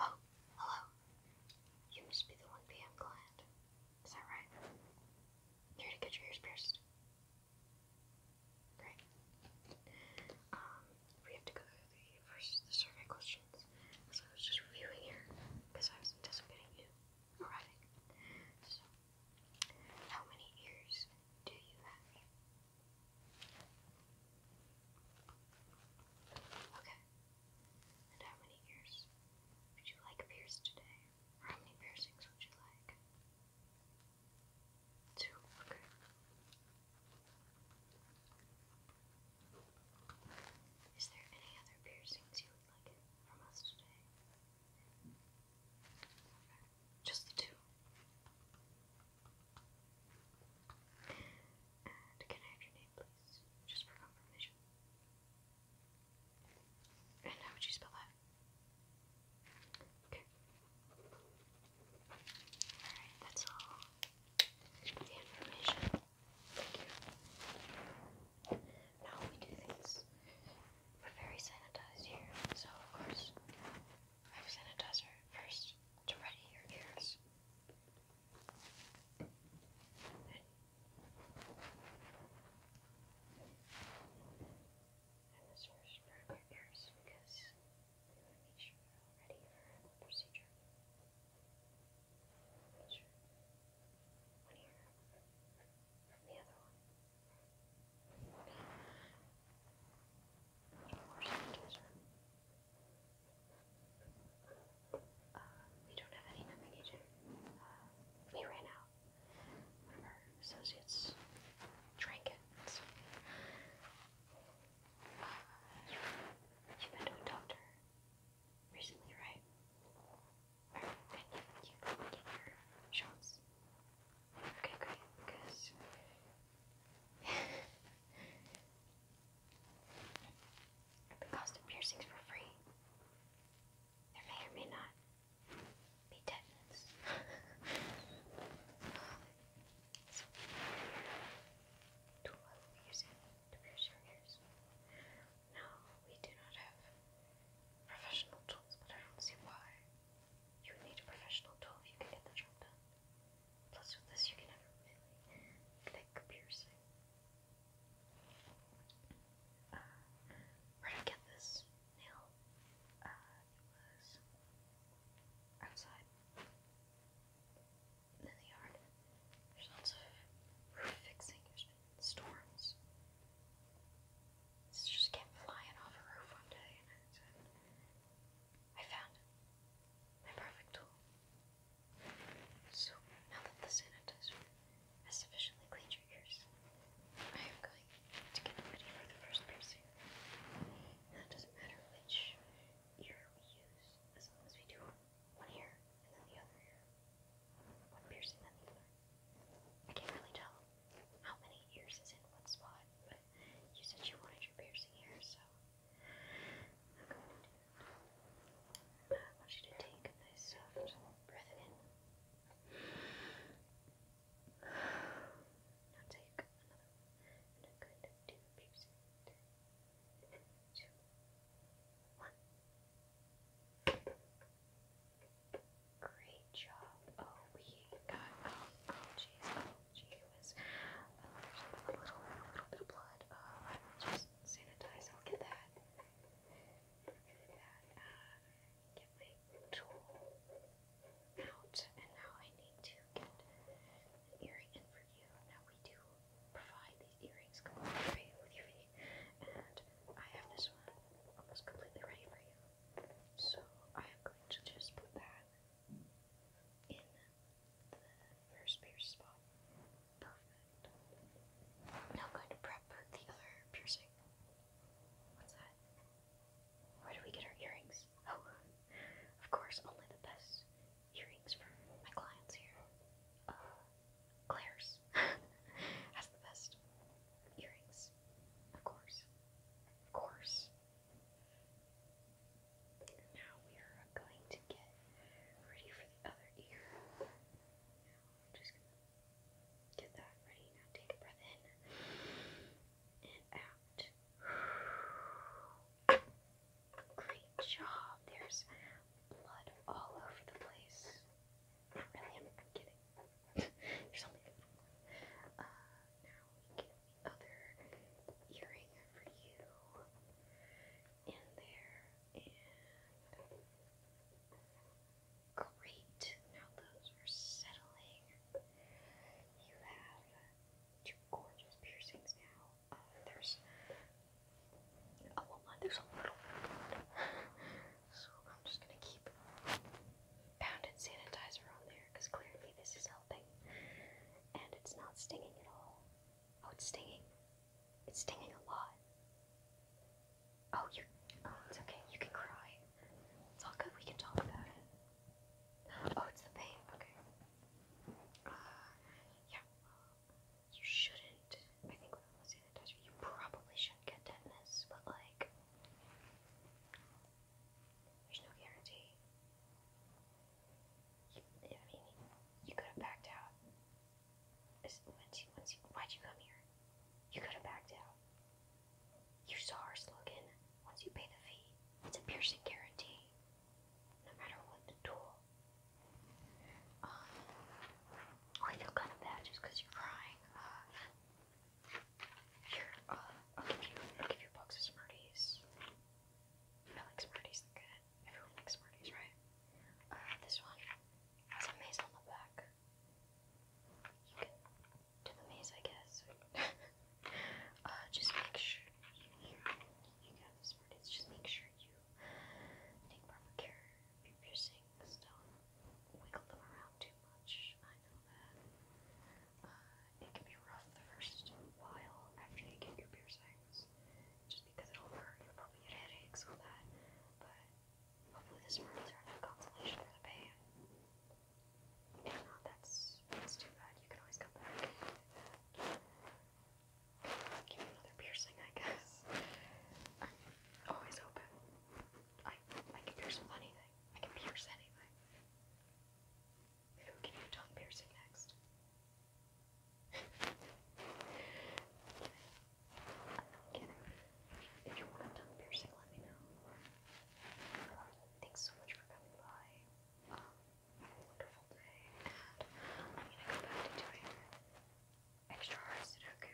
Oh, hello. You must be the 1 p.m. client. Is that right? here to get your ears pierced. Great. Um, we have to go through the first the survey questions. So I was just reviewing here because I was anticipating you arriving. So how many ears do you have? Okay. And how many ears would you like pierced today? how many piercings would you like? Two. Okay. Is there any other piercings you would like from us today? Just the two. And can I have your name, please? Just for confirmation. And how would you spell that? Okay. Alright, that's all the information. Thank you. Now we do things. We're very sanitized here, so of course, I have sanitizer first to ready your ears. And this first for our ears because we want to make sure we're all ready for the procedure. sure one ear the other one we don't have any navigation. Uh, we ran out. One of our associates drank it. you've uh, been to a doctor recently, right? Perfect. You can get your shots. Okay, great. Because the cost of piercings for free. There may or may not be tetanus. so, I will be to pierce your ears. No, we do not have professional tools, but I don't see why you would need a professional tool if you can get the job done. Plus, with this, you can have a really thick piercing. Uh, where did I get this nail? Uh, it was outside in the yard. There's lots of fixing. there storms. It just kept flying off a roof one day, I found My perfect tool. So, now that the sanitizer has sufficiently cleaned your ears, I am going to get ready for the first piercing. Now, it doesn't matter which ear we use, as long as we do one ear and then the other ear. One piercing, then the other. I can't really tell how many ears is in what spot, but you said you wanted your piercing here, so I'm going to do I want you to take a nice soft breath in. Now take another I'm going to do piercing. Two, one. Great job. Oh, we got. Oh, oh, jeez. Oh, gee whiz. Oh, uh, a little, little bit of blood. Uh, I will just sanitize. I'll get that. Get that. Uh, get my tool out. And now I need to get an earring in for you. Now we do provide these earrings completely free with your feet. And I have this one almost completely ready for you. So I'm going to just put that in the first pierce spot. Now going to prep the other piercing. What's that? Where do we get our earrings? Oh, of course, only the best earrings for my clients here. Uh, Claire's has the best earrings. Of course. Of course. Now we are going to get ready for the other ear. Now I'm just gonna get that ready. Now take a breath in and out. Great job. There's blood all over the place really, I'm, I'm kidding. There's only Uh, now we get other earring for you in there, great. Now those are settling. You have two gorgeous piercings now. Uh, there's a oh, little, there's a little. So I'm just gonna keep pounded sanitizer on there because clearly this is helping. And it's not stinging at all. Oh, it's stinging. It's stinging a lot. Oh, you're. Oh, it's okay. You can cry. It's all good. We can talk about it. Oh, it's the pain. Okay. Uh, yeah. You shouldn't. I think without the sanitizer, you probably shouldn't get tetanus, but like. There's no guarantee. I mean, you could have backed out. Once once why'd you come here? You could have backed out. You saw our slogan. Once you pay the fee, it's a piercing guarantee. No matter what the tool. Um, I feel kind of bad just because you're crying. Uh, here, uh, I'll give you, I'll give you a of Smarties. I like Smarties, they're good. Everyone likes Smarties, right? Uh, this one has a maze on the back. You can do the maze, I guess. Uh, just make sure you, you got the Smarties, just make sure you take proper care of your piercings. Don't wiggle them around too much, I know that. Uh, it can be rough the first while after you get your piercings, just because it'll hurt. You'll probably get headaches with that, but hopefully this words are enough consolation for the pain. If not, that's, that's too bad. You can always come back and another piercing, I guess. I'm always open. I, I can pierce anything. I can pierce anything. Maybe can do tongue piercing next. I'm kidding. If you want a tongue piercing, let me know. thanks so much for coming by. Um, have a wonderful day, and I'm gonna go back to doing extra hard Sudoku.